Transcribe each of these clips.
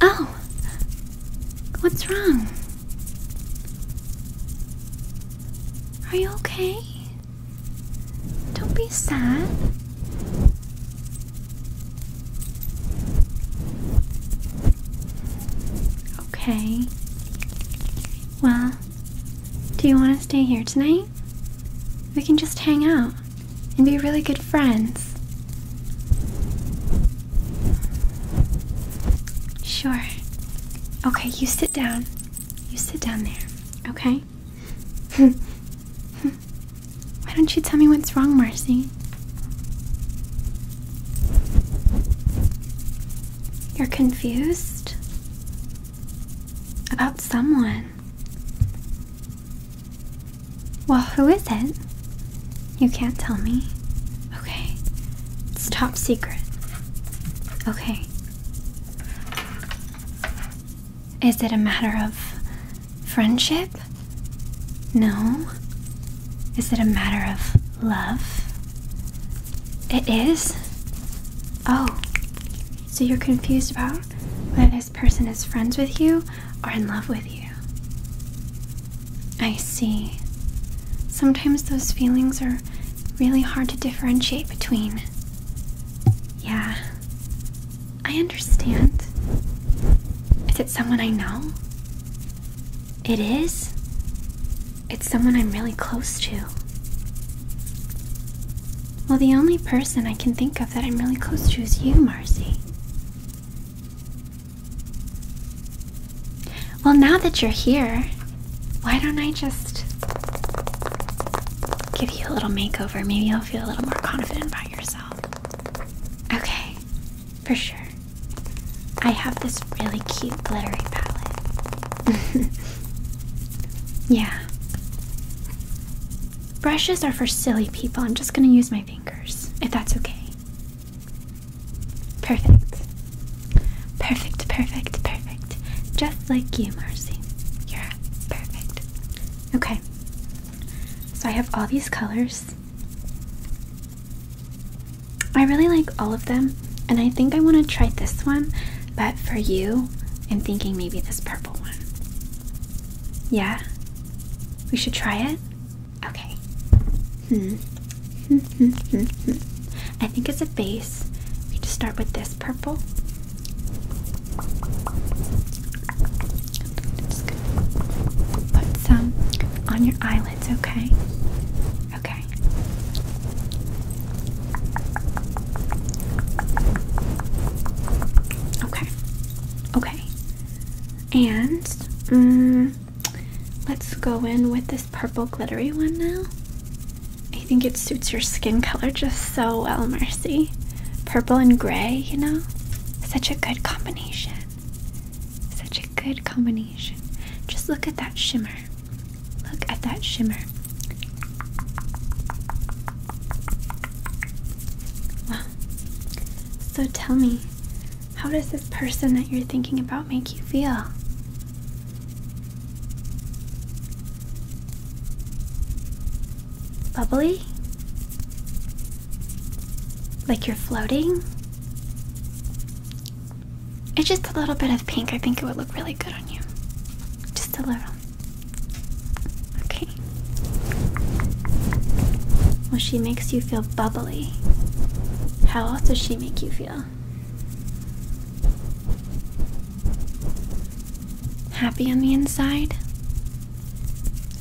Oh, what's wrong? Are you okay? Don't be sad. Okay. Well, do you want to stay here tonight? We can just hang out and be really good friends. Sure. Okay, you sit down. You sit down there, okay? Why don't you tell me what's wrong, Marcy? You're confused? About someone. Well, who is it? You can't tell me. Okay. It's top secret. Okay. Is it a matter of friendship? No. Is it a matter of love? It is? Oh, so you're confused about whether this person is friends with you or in love with you. I see. Sometimes those feelings are really hard to differentiate between. Yeah, I understand. Is it someone I know? It is? It's someone I'm really close to. Well, the only person I can think of that I'm really close to is you, Marcy. Well, now that you're here, why don't I just give you a little makeover? Maybe you'll feel a little more confident about yourself. Okay, for sure. I have this really cute glittery palette. Yeah. Brushes are for silly people. I'm just gonna use my fingers, if that's okay. Perfect. Perfect, perfect, perfect. Just like you, Marcy. You're perfect. Okay. So I have all these colors. I really like all of them and I think I want to try this one, but for you, I'm thinking maybe this purple one. Yeah? We should try it? Okay. Hmm. I think as a base, we just start with this purple. Put some on your eyelids, okay? Okay. Okay. Okay. And mm, let's go in with this purple glittery one now. I think it suits your skin color just so well, Mercy. Purple and gray, you know? Such a good combination. Such a good combination. Just look at that shimmer. Look at that shimmer. Wow. So tell me, how does this person that you're thinking about make you feel? Bubbly? Like you're floating? It's just a little bit of pink. I think it would look really good on you. Just a little. Okay. Well, she makes you feel bubbly. How else does she make you feel? Happy on the inside?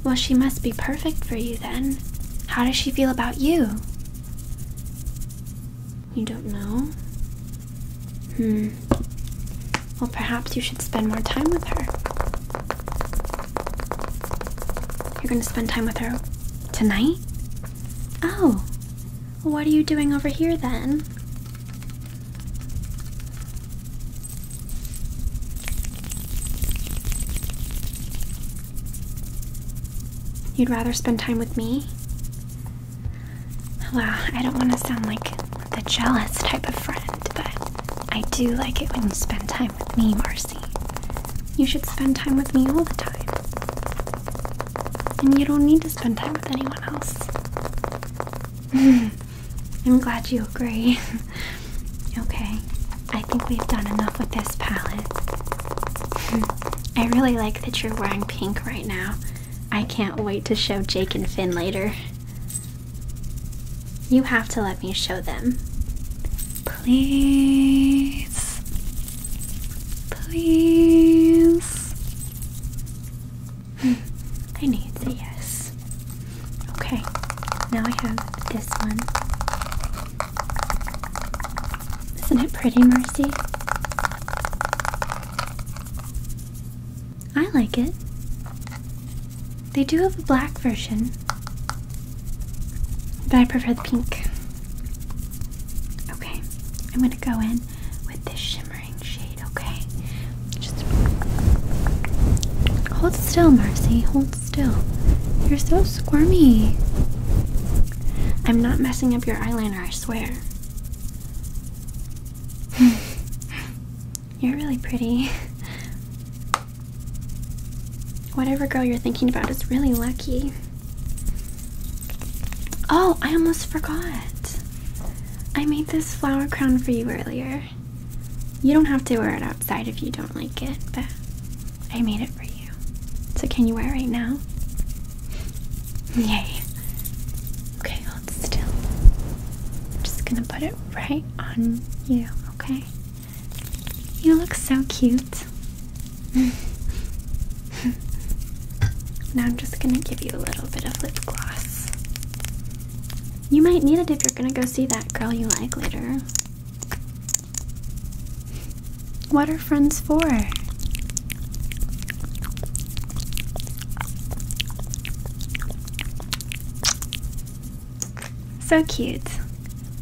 Well, she must be perfect for you then. How does she feel about you? You don't know? Hmm. Well, perhaps you should spend more time with her. You're gonna spend time with her tonight? Oh. what are you doing over here then? You'd rather spend time with me? Well, I don't want to sound like the jealous type of friend, but I do like it when you spend time with me, Marcy. You should spend time with me all the time. And you don't need to spend time with anyone else. I'm glad you agree. okay, I think we've done enough with this palette. I really like that you're wearing pink right now. I can't wait to show Jake and Finn later. You have to let me show them. Please. Please. Hmm. I need the yes. Okay, now I have this one. Isn't it pretty, Mercy? I like it. They do have a black version, but I prefer the pink. Okay, I'm gonna go in with this shimmering shade, okay? Just hold still, Marcy. Hold still. You're so squirmy. I'm not messing up your eyeliner. I swear. you're really pretty. Whatever girl you're thinking about is really lucky. Oh, I almost forgot. I made this flower crown for you earlier. You don't have to wear it outside if you don't like it, but I made it for you you. So, can you wear it now? Yay. Okay, hold still. I'm just gonna put it right on you, okay? You look so cute. now, I'm just gonna give you a little bit of lip gloss. You might need it if you're gonna go see that girl you like later. What are friends for? So cute.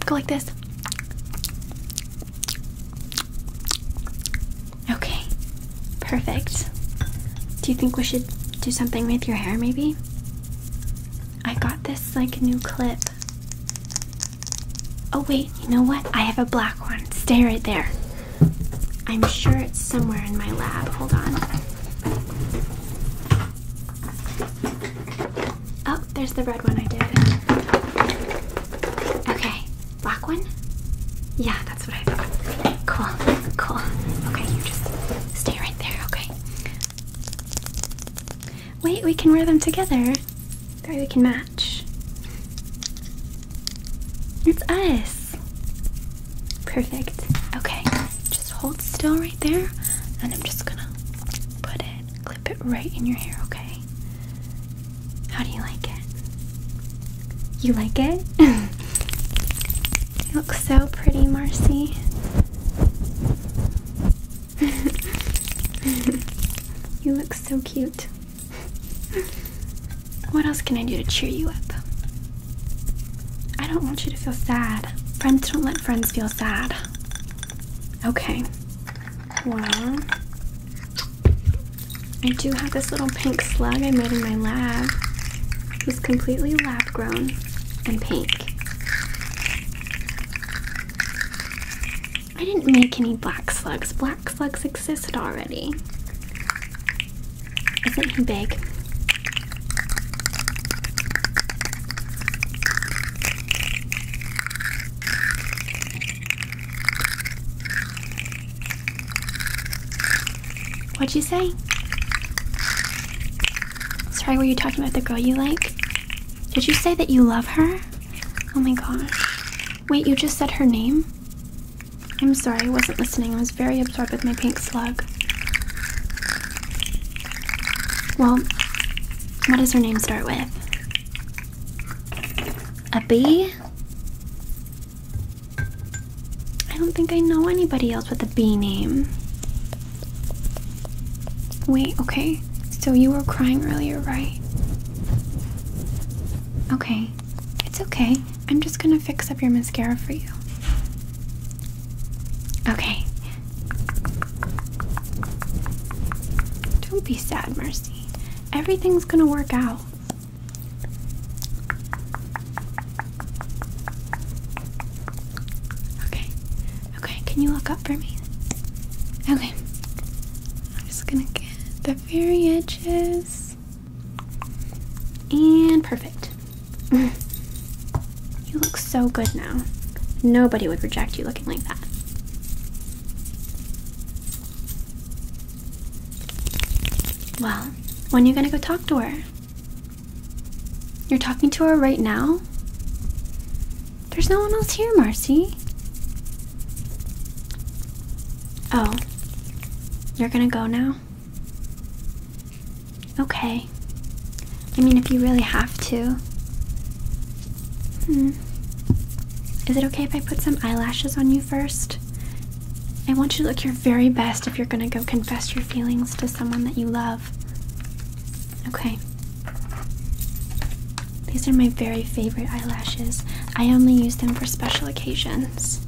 Go like this. Okay, perfect. Do you think we should do something with your hair maybe? I got this like new clip Oh, wait, you know what? I have a black one. Stay right there. I'm sure it's somewhere in my lab. Hold on. Oh, there's the red one I did. Okay, black one? Yeah, that's what I thought. Cool, cool. Okay, you just stay right there, okay? Wait, we can wear them together. That we can match. It's us. Perfect. Okay, just hold still right there, and I'm just gonna put it, clip it right in your hair, okay? How do you like it? You like it? you look so pretty, Marcy. you look so cute. What else can I do to cheer you up? I don't want you to feel sad. Friends don't let friends feel sad. Okay. Well, I do have this little pink slug I made in my lab. It's completely lab grown and pink. I didn't make any black slugs. Black slugs existed already. Isn't he big? What'd you say? Sorry, were you talking about the girl you like? Did you say that you love her? Oh my gosh. Wait, you just said her name? I'm sorry, I wasn't listening. I was very absorbed with my pink slug. Well, what does her name start with? A B? I don't think I know anybody else with a B name. Wait, okay. So you were crying earlier, right? Okay. It's okay. I'm just gonna fix up your mascara for you. Okay. Don't be sad, Mercy. Everything's gonna work out. Okay. Okay, can you look up for me? Okay. I'm just gonna get the very edges. And perfect. you look so good now. Nobody would reject you looking like that. Well, when are you gonna go talk to her? You're talking to her right now? There's no one else here, Marcy. Oh, you're gonna go now? Okay. I mean, if you really have to. Hmm. Is it okay if I put some eyelashes on you first? I want you to look your very best if you're gonna go confess your feelings to someone that you love. Okay. These are my very favorite eyelashes. I only use them for special occasions.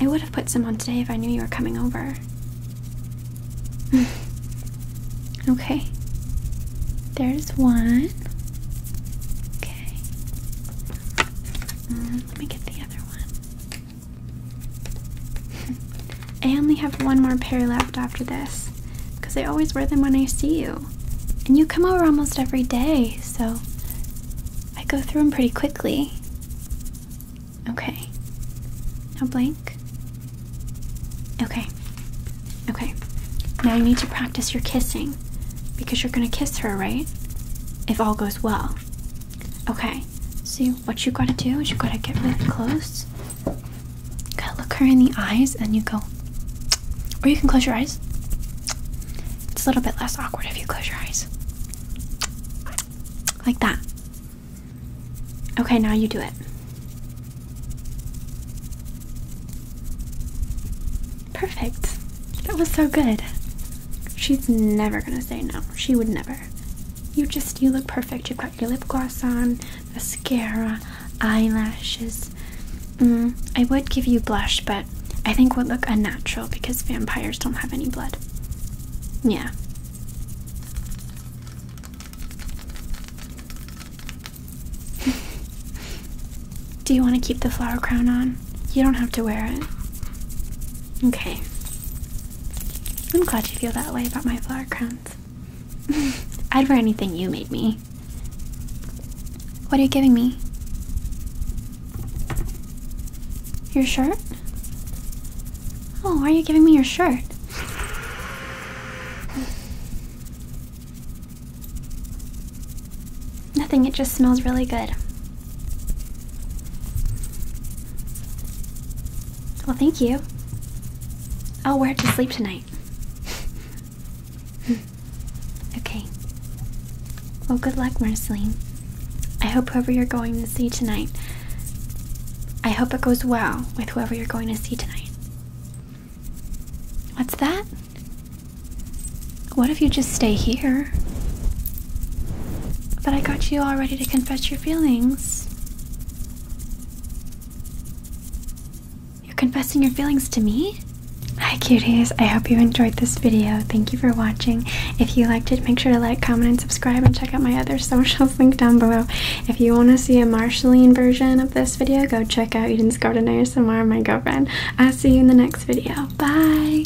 I would have put some on today if I knew you were coming over. okay. There's one. Okay. Mm, let me get the other one. I only have one more pair left after this because I always wear them when I see you. And you come over almost every day, so I go through them pretty quickly. Okay. Now blank. Okay. Okay. Now you need to practice your kissing because you're going to kiss her, right? If all goes well. Okay. See, what you got to do is you got to get really close you gotta look her in the eyes and you go. Or you can close your eyes. It's a little bit less awkward if you close your eyes. Like that. Okay, now you do it. Perfect. That was so good. She's never gonna say no. She would never. You just, you look perfect. You've got your lip gloss on, mascara, eyelashes. Mm, I would give you blush, but I think would look unnatural because vampires don't have any blood. Yeah. Do you want to keep the flower crown on? You don't have to wear it. Okay. I'm glad you feel that way about my flower crowns. I'd wear anything you made me. What are you giving me? Your shirt? Oh, why are you giving me your shirt? Nothing, it just smells really good. Well, thank you. I'll wear it to sleep tonight. okay. Well, good luck, Marceline. I hope whoever you're going to see tonight. I hope it goes well with whoever you're going to see tonight. What's that? What if you just stay here? But I got you all ready to confess your feelings. You're confessing your feelings to me? Hi cuties, I hope you enjoyed this video. Thank you for watching. If you liked it, make sure to like, comment, and subscribe, and check out my other socials linked down below. If you want to see a Marshalline version of this video, go check out Eden's Garden ASMR, my girlfriend. I'll see you in the next video. Bye!